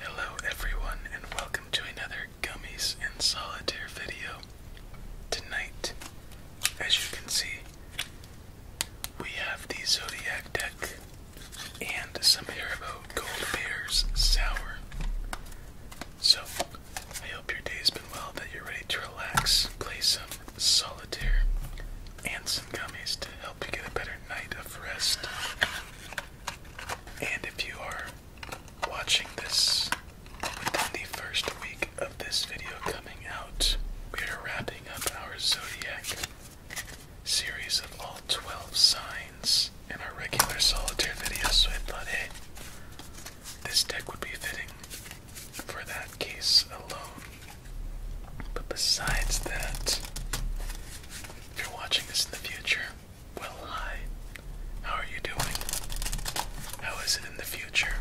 Hello, everyone, and welcome to another Gummies and Solitaire video. Tonight, as you can see, we have the Zodiac deck and some Haribo Gold Bears Sour. So, I hope your day's been well, that you're ready to relax, play some solitaire, and some gummies to help you get a better night of rest. And if you are watching this within the first week of this video coming out, we are wrapping up our zodiac series of all 12 signs in our regular solitaire video, so I thought, hey, this deck would be fitting for that case alone. But besides that, if you're watching this in the future, well, hi. How are you doing? How is it in the future?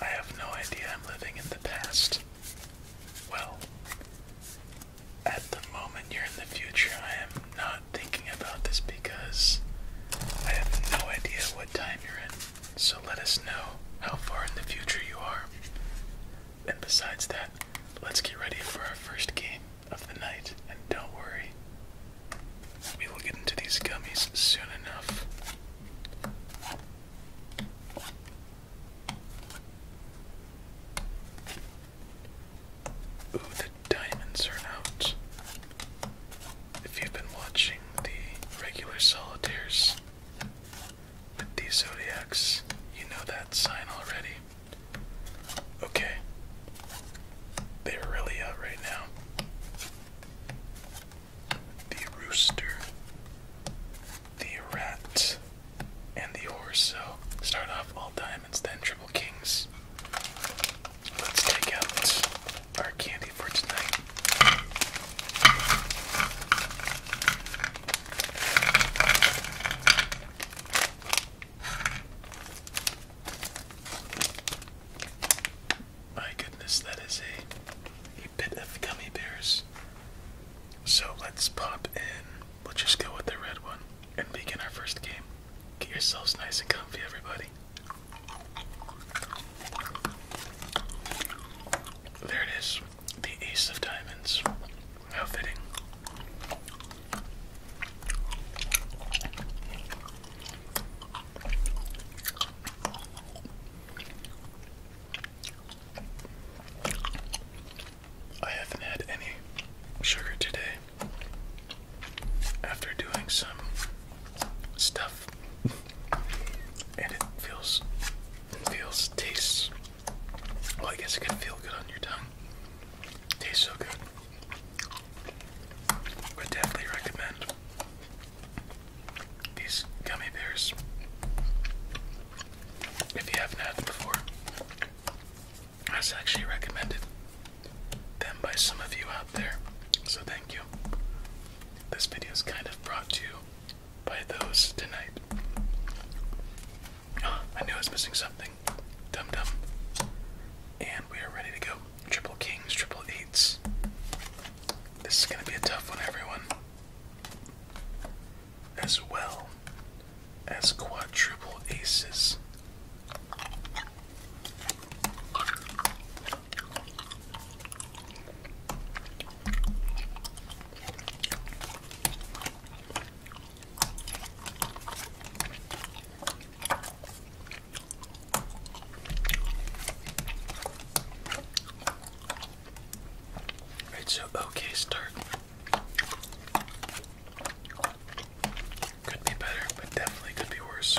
I have no idea I'm living in the past. Well, at the moment you're in the future, I am not thinking about this because I have no idea what time you're in. So let us know how far in the future you are. And besides that, let's get ready for our first game of the night. And don't worry, we will get into these gummies soon enough. Ooh, the diamonds are out. If you've been watching the regular solitaires, but these zodiacs, you know that sign already. Okay. They're really out right now. The rooster, the rat, and the horse. So start off all diamonds, then triple kings. Let's take out our candy for tonight. My goodness, that is a, a bit of gummy bears. So let's pop in. We'll just go with the red one and begin our first game. Get yourselves nice and comfy, everybody. There it is. The Ace of Diamonds. How fitting. I haven't had any sugar today after doing some stuff and it feels feels tastes well, I guess it can feel good on your tongue. Tastes so good. Would definitely recommend these gummy bears if you haven't had them before. I was actually recommended them by some of you out there, so thank you. This video is kind of brought to you by those tonight. Oh, I knew I was missing something. Dum dum. And we are ready to go. Triple kings, triple eights. This is gonna be a tough one, everyone. As well as quadruple aces. It's So, okay start. Could be better, but definitely could be worse.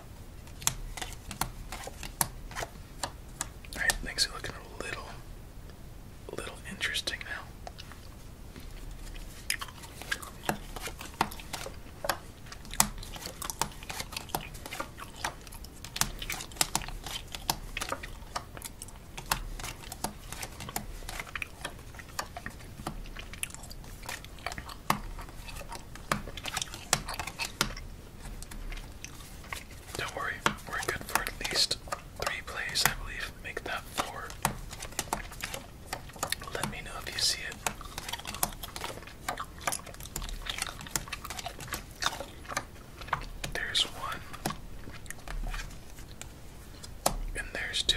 Alright, things are looking a little a little interesting now. Don't worry, we're good for at least three plays, I believe. Make that four. Let me know if you see it. There's one. And there's two.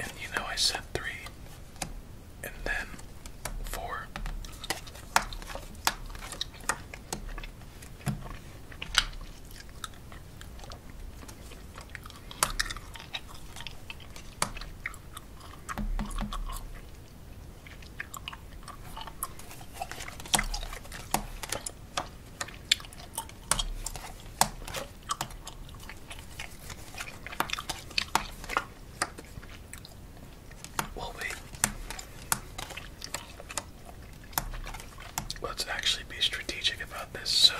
And you know I said three, and then four. Will wait. Let's actually be strategic about this. So,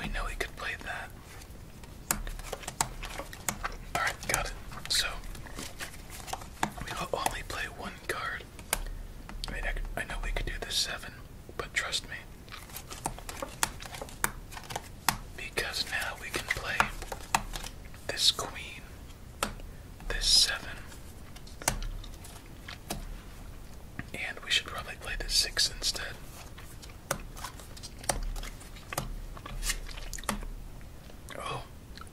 we know we could play that. Alright, got it. So, we will only play one card. I mean, I, I know we could do the seven, but trust me, because now we can play this queen, this seven, and we should probably play this six instead. Oh,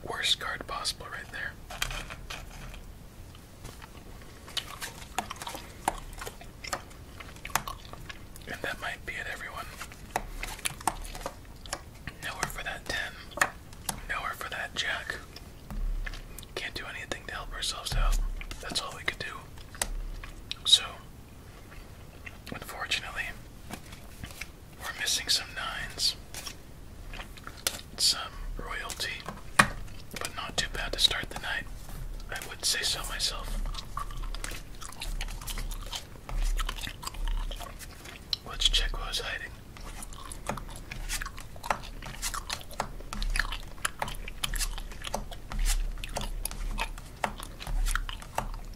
worst card possible right there. And that might be it, everyone. Nowhere for that 10. Nowhere for that jack. Can't do anything to help ourselves out. That's all we could do. So, unfortunately, we're missing some nines, some royalty, but not too bad to start the night. I would say so myself. Let's check what was hiding.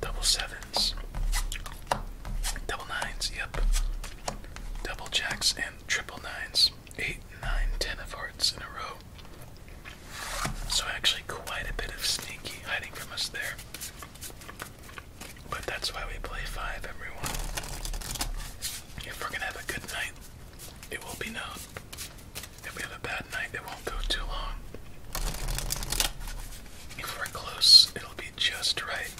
Double sevens, double nines, yep. Double jacks and triple nines. Eight, nine, ten of hearts in a row. So, actually, quite a bit of sneaky hiding from us there. But that's why we play five, everyone. If we're gonna have a good night, it will be known. If we have a bad night, it won't go too long. If we're close, it'll be just right.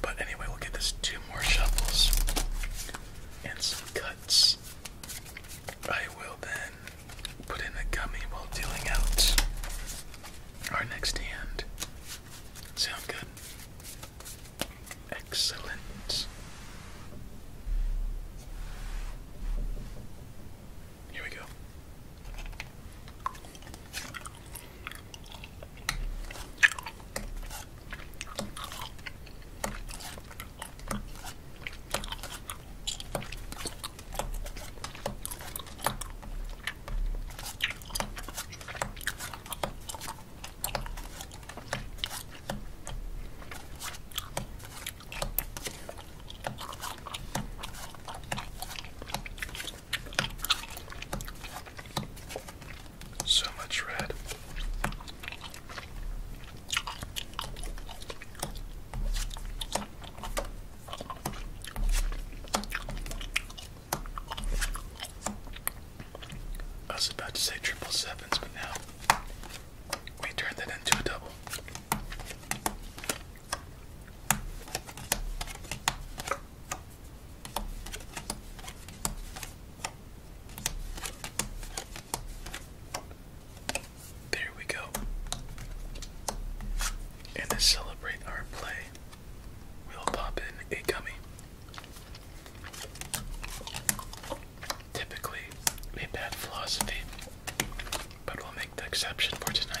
But anyway, we'll get this two more shovels and some cuts. I will then Put in a gummy while dealing out our next hand. Sound good? Excellent. Here we go. So much red. I was about to say triple sevens, but now we turned that into a double. There we go. And to celebrate our play, we'll pop in a gummy. Typically a bad philosophy, but we'll make the exception for tonight.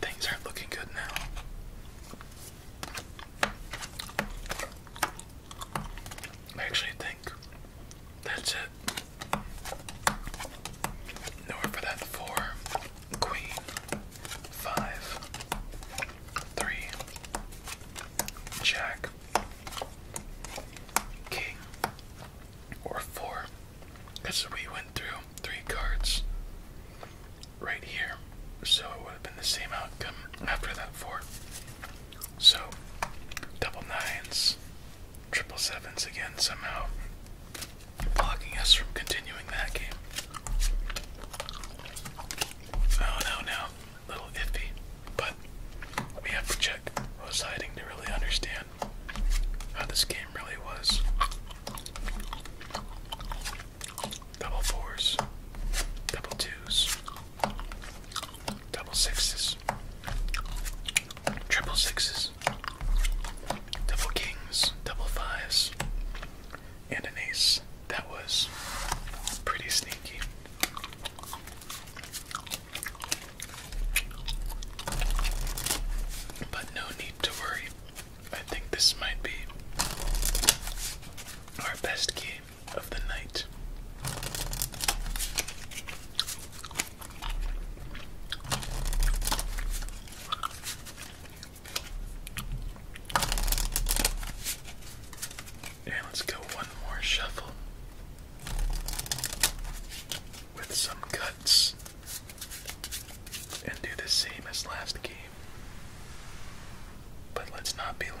Things are looking good now. I actually think that's it. Nowhere for that four, queen, five, three, jack, king, or four. Because we went through three cards right here. So it would have been the same outcome after that four. So double nines, triple sevens again somehow blocking us from continuing that game. Oh no, no. Little iffy. But we have to check who's hiding to really understand how this game really was. Double fours, double twos, double sixes, triple sixes, double kings, double fives, and an ace. That was pretty sneaky. But no need to worry. I think this might be our best game of the night. And let's go one more shuffle with some cuts and do the same as last game. But let's not be lame.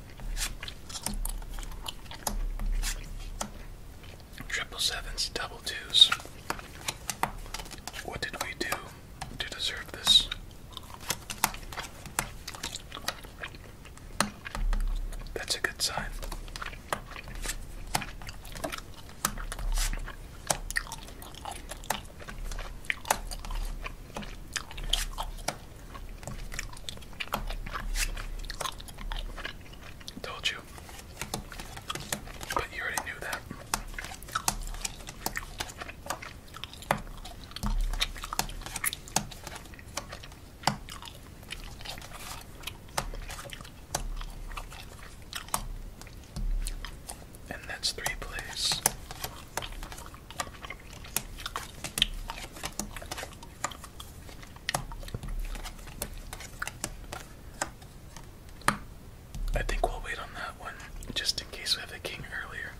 Triple sevens, double twos. What did we do to deserve this? That's a good sign. Told you. But you already knew that. And that's three plays. I think we'll wait on that one just in case we have the king earlier.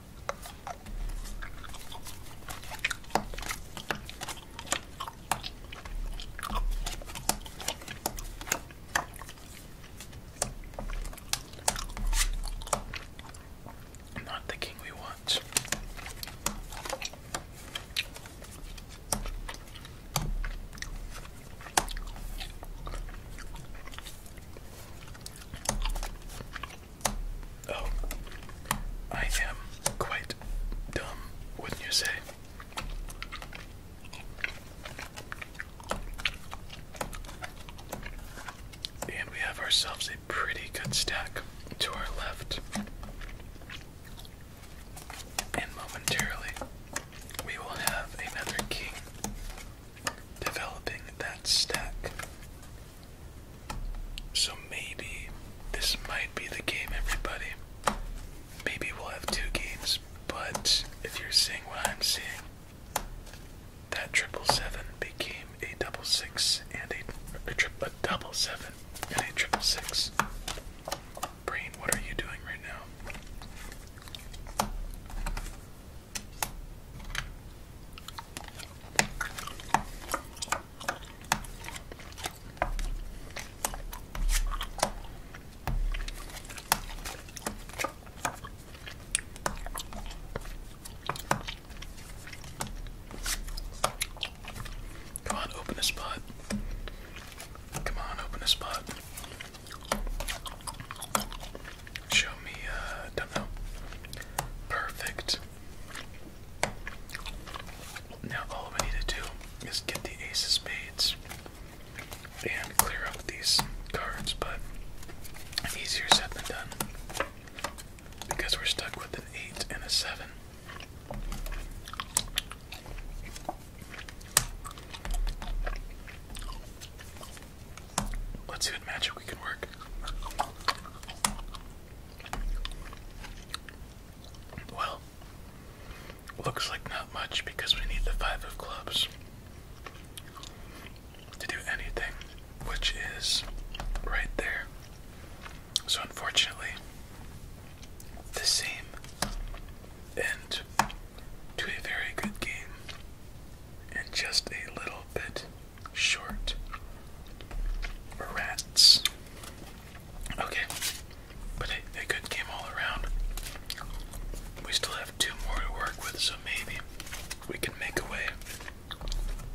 Not the king we want. Oh, I am quite dumb, wouldn't you say? And we have ourselves a pretty good stack to our left. And momentarily, we will have another king developing that stack. So maybe this might be the game, everybody. Maybe we'll have two games, but if you're seeing what I'm seeing, that triple seven became a double six and a, a, double seven triple six. Brain, what are you doing right now? Come on, open a spot. Come on, open a spot. Show me, uh, don't know. Perfect. Now all we need to do is get the ace of spades and clear up these cards, but easier said than done because we're stuck with an eight and a seven. Let's see what magic we can work. Well, looks like not much because we need the five of clubs to do anything, which is right there. So, unfortunately, the same end to a very good game and just a little bit short. Rats. Okay, but a good game all around. We still have two more to work with, so maybe we can make a way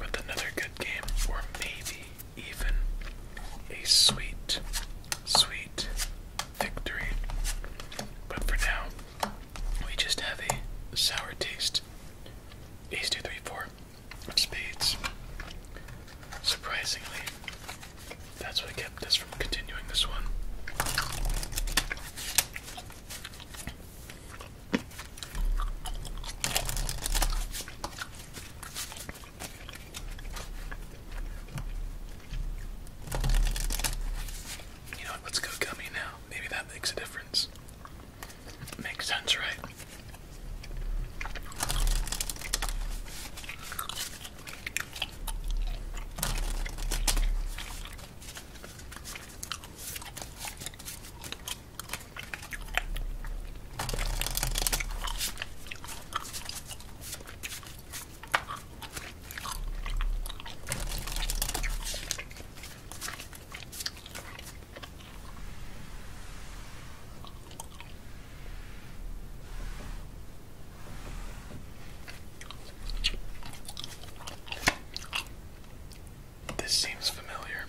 with another good game, or maybe even a sweet, sweet victory. But for now, we just have a sour taste. Ace two three four of spades. Surprisingly, that's what kept us from continuing this one. You know Let's go gummy now. Maybe that makes a difference. Makes sense, right? This seems familiar.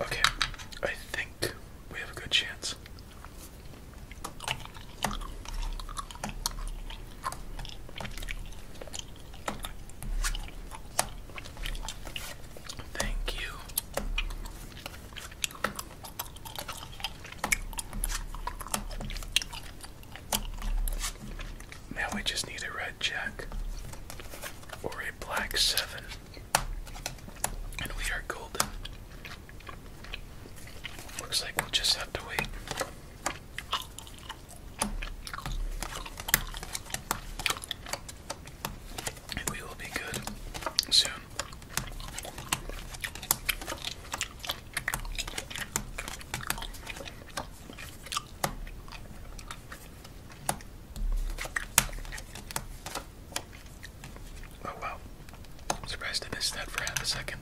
Okay, I think we have a good chance. Thank you. Now we just need a red jack or a black seven. And we are golden. Looks like we'll just have to wait. we will be good soon. Oh wow. I'm surprised to miss that for half a second.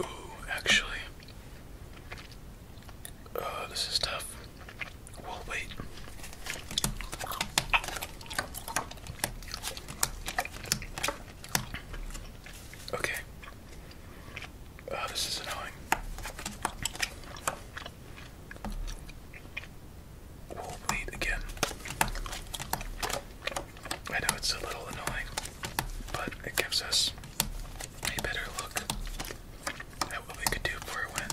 Ooh, actually. Oh, this is tough. Well, wait. Okay. Oh, this is annoying. We'll bleed again. I know it's a little annoying, but it gives us a better look at what we could do for win.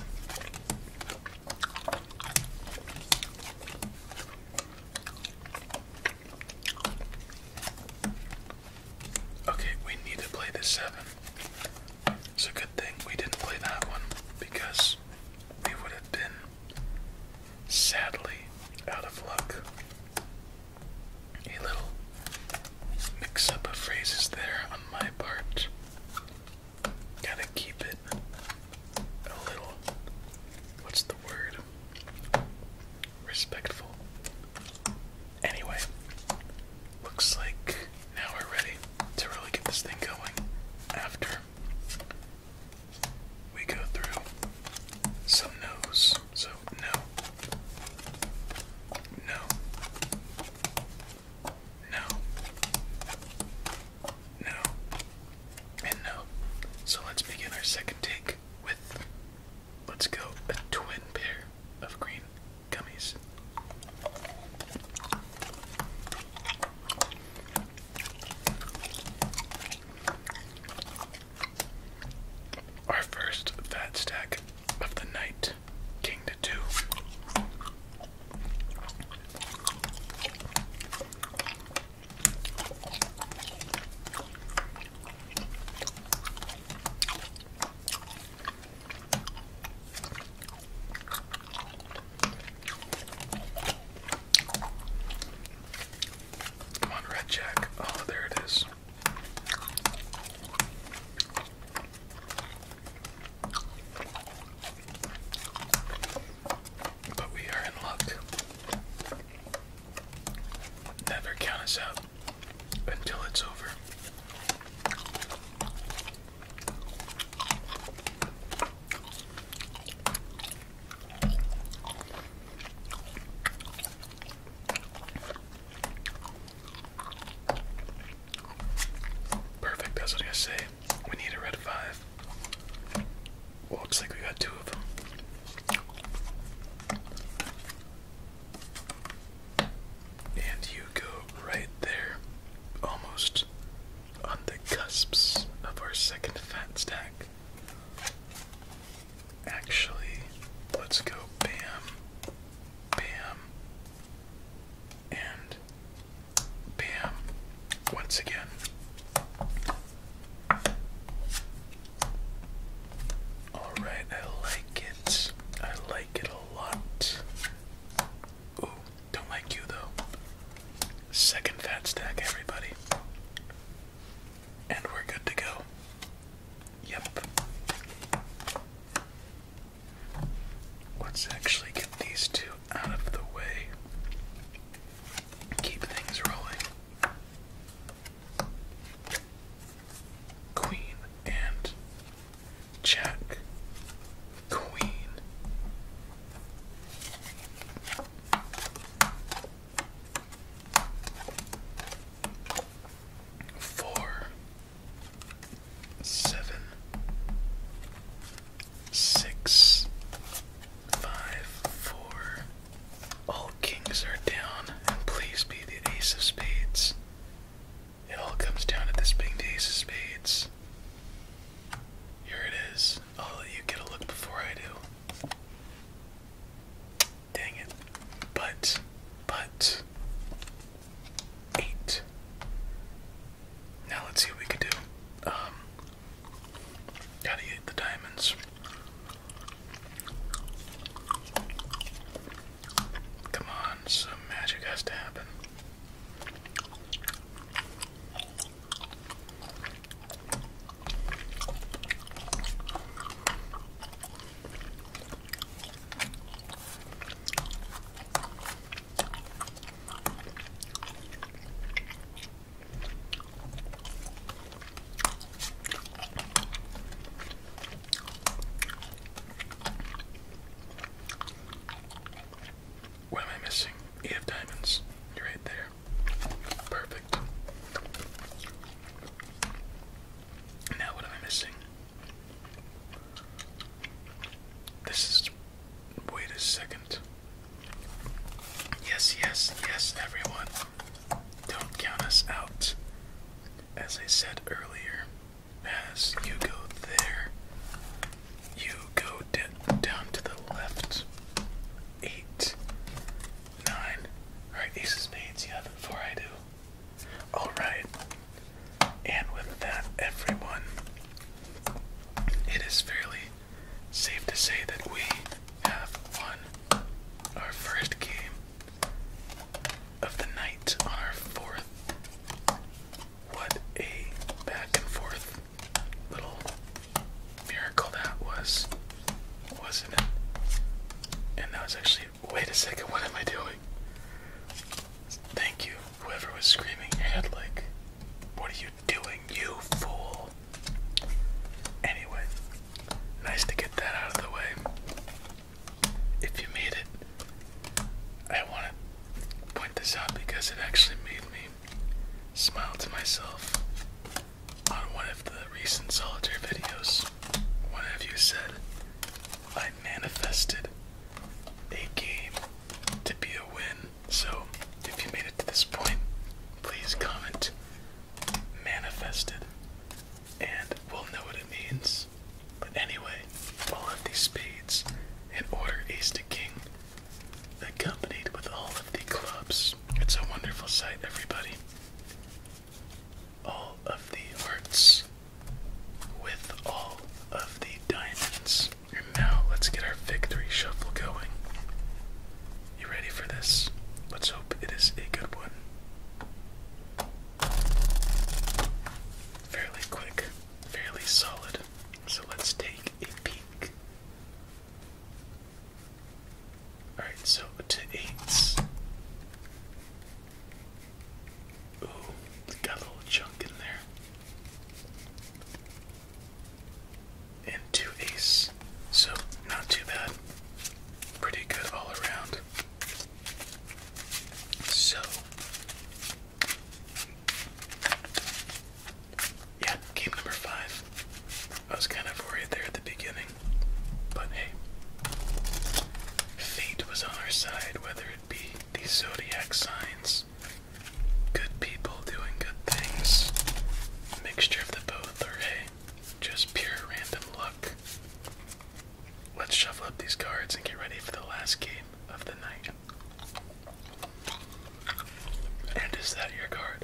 Okay, we need to play the seven. It's a good thing we didn't play that one because we would have been sadly out of luck. A little mix up of phrases there on my part. Gotta keep it a little. What's the word? respectful. Anyway, looks like now we're ready to really get this thing going after we go through some no's. So, no. No. No. No. And no. So let's begin our second take with, let's go, a twin pair of green gummies. Our first fat stack of the night, king to two. Come on, Red Jack. Oh, there it is. But we are in luck. Never count us out until it's over. Perfect, that's what I say. We need a red five looks like we got two of them. And you go right there, almost on the cusps of our second fat stack. Actually, let's go bam, bam, and bam once again. Alright, I like it. I like it a lot. Ooh, don't like you though. Second fat stack, everybody. And we're good to go. Yep. Let's actually get these two out of the way. Keep things rolling. Queen and Jack. Queen. Four, seven, six, Five, four. All kings are down, and please be the ace of spades. It all comes down to this being the ace of spades. Here it is. I'll let you get a look before I do. Dang it. But, but, eight. Now let's see what we can do. Um, gotta eat the diamonds. Come on, some magic has to happen. What am I missing? Eight of diamonds. You're right there. Perfect. Now what am I missing? This is. Wait a second. Yes, yes, yes, everyone. Don't count us out. As I said earlier, as you go there, you go down to the left. Eight, nine. Alright, ace of spades, you have before I do. Alright. And with that, everyone, it is fairly safe to say that we have won our first game of the night on our fourth. What a back and forth little miracle that was, wasn't it? And that was actually, wait a second, what am I doing? Thank you, whoever was screaming had like, what are you doing, you fool? Anyway, nice to get that out of the way. If you made it, I want to point this out because it actually made me smile to myself on one of the recent solitaire videos. What have you said, I manifested a game to be a win. So if you made it to this point, please comment manifested, and we'll know what it means. But anyway, all of these spades in order ace to king, accompanied with all of the clubs. It's a wonderful sight, everybody. All of the hearts with all of the diamonds. And now let's get our victory shuffle going. You ready for this? Let's hope it is a good one. Fairly quick, fairly solid. So let's take a peek. Alright, so to eights. Ooh, got a little chunk in there. And two ace. So not too bad pretty good all around. So, yeah, game number five. I was kind of worried there at the beginning, but hey, fate was on our side, whether it be the zodiac signs, good people doing good things, mixture of the both, or hey, just pure random luck. Let's shuffle up these cards and get ready for the last game of the night. And is that your card?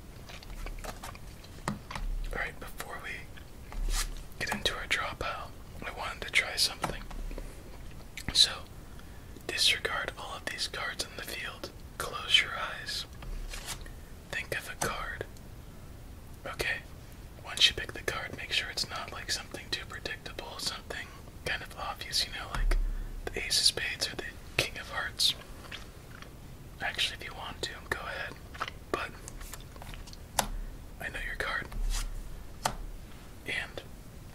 Alright, before we get into our draw pile, I wanted to try something. So, disregard all of these cards in the field. Close your eyes. Think of a card. Okay, once you pick the card, make sure it's not like something too predictable, something kind of obvious, you know, like the Ace of Spades or the King of Hearts. Actually, if you want to, go ahead. But I know your card. And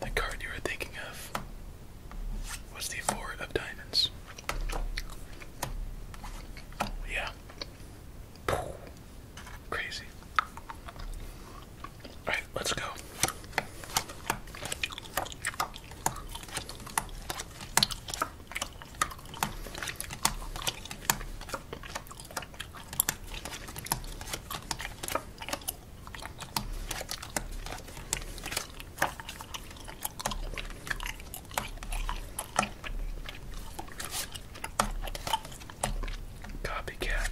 the card you were thinking of was the Four of Diamonds. Yeah. Crazy. Alright, let's go. Copycat.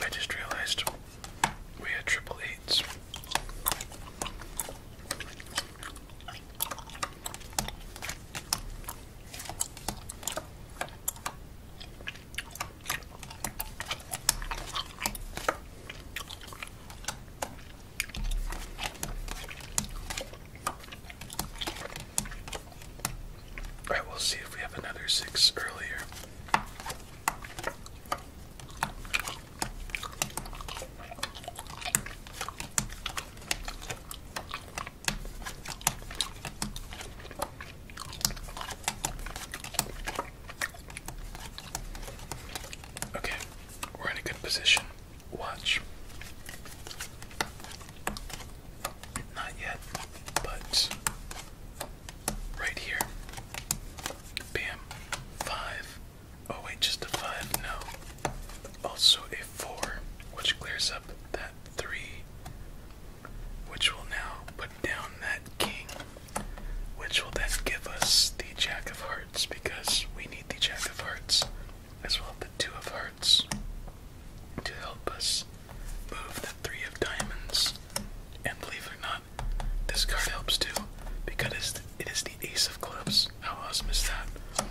I just realized we had triple eights. Alright, we'll see if we have another six earlier. Okay, we're in a good position. Watch. Not yet, but right here. Bam. Five. Oh wait, just a five, no. Also a four, which clears up that three, which will now put down that king, which will then give us the jack of hearts because we need the jack of hearts as well as the two of hearts to help us move the three of diamonds. And believe it or not, this card helps too because it is the ace of clubs. How awesome is that?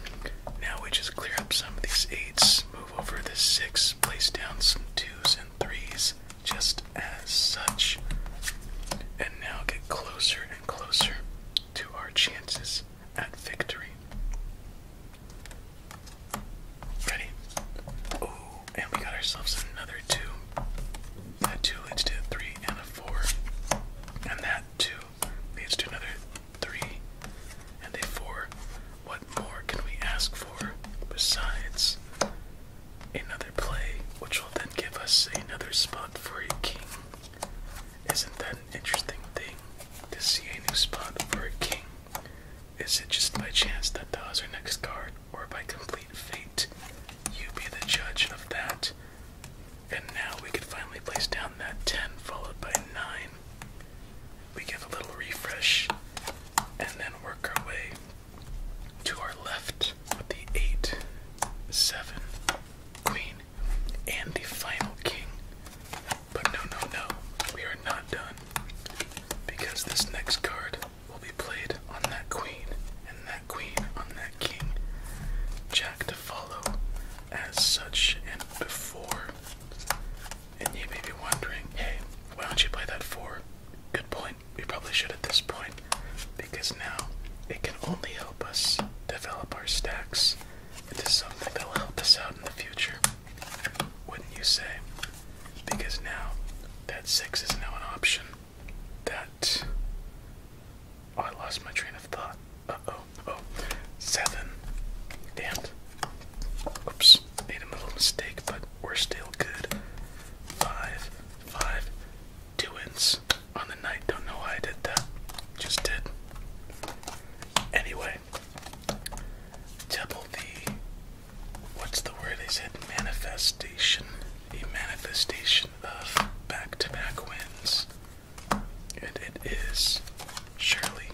Now we just clear up some of these eights, move over the six, place down some twos and threes, just as such. And now get closer and closer to our chances at victory. Ready? Oh, and we got ourselves another two. That two leads to a three and a four. And that two leads to another three and a four. What more can we ask for besides another play, which will then give us another spot for a king? Isn't that an interesting thing to see a new spot for a king? Is it just by chance that that was our next card, or by complete fate? You be the judge of that. And now we can finally place down that 10 followed by 9. We give a little refresh and then work our way to our left with the 8, 7, queen, and the final king. But no, no, no, we are not done. Because this next card will be played on that queen, and that queen on that king. Jack to follow as such and before. And you may be wondering, hey, why don't you play that four? Good point. We probably should at this point. Because now it can only help us develop our stacks into something that will help us out in the future. Wouldn't you say? Because now that 6 is now an option. That. Oh, I lost my train of thought. Uh oh. Oh. Damn. Oops. Made a little mistake, but we're still good. 5. ins on the night. Don't know why I did that. Just did. Anyway, double the what's the word I said? Manifestation. A manifestation of back to back wins. And it is surely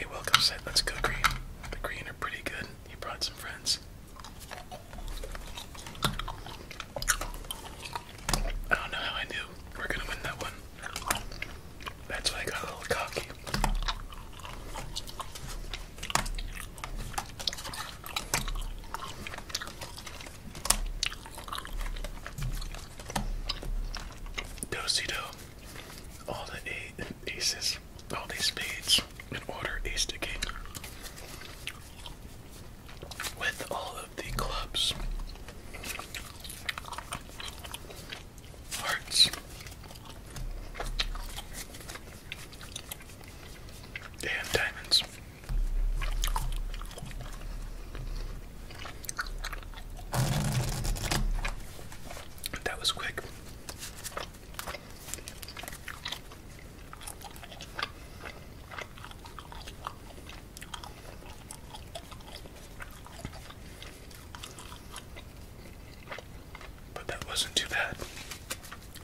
a welcome set. Let's go green. The green are pretty good. He brought some friends. I don't know how I knew. We're gonna win that one. That's why I got a little cocky. Dosey do, all the eight and aces, all these spades in order, ace to with all of the clubs hearts. They diamonds. That was quick. But that wasn't too bad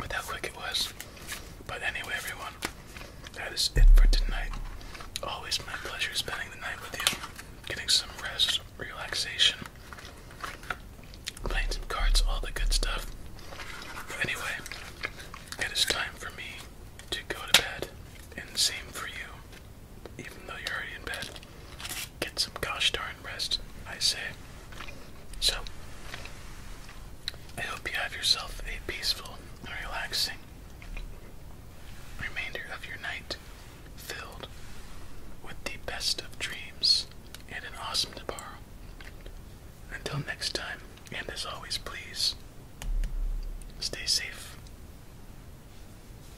with how quick it was. But anyway, everyone, that is it for tonight. Always my pleasure spending the night with you, getting some rest, relaxation, playing some cards, all the good stuff. anyway, it is time for me to go to bed, and same for you, even though you're already in bed. Get some gosh darn rest, I say. So, I hope you have yourself a peaceful and relaxing remainder of your night filled with the best of dreams and an awesome tomorrow. Until next time, and as always, please stay safe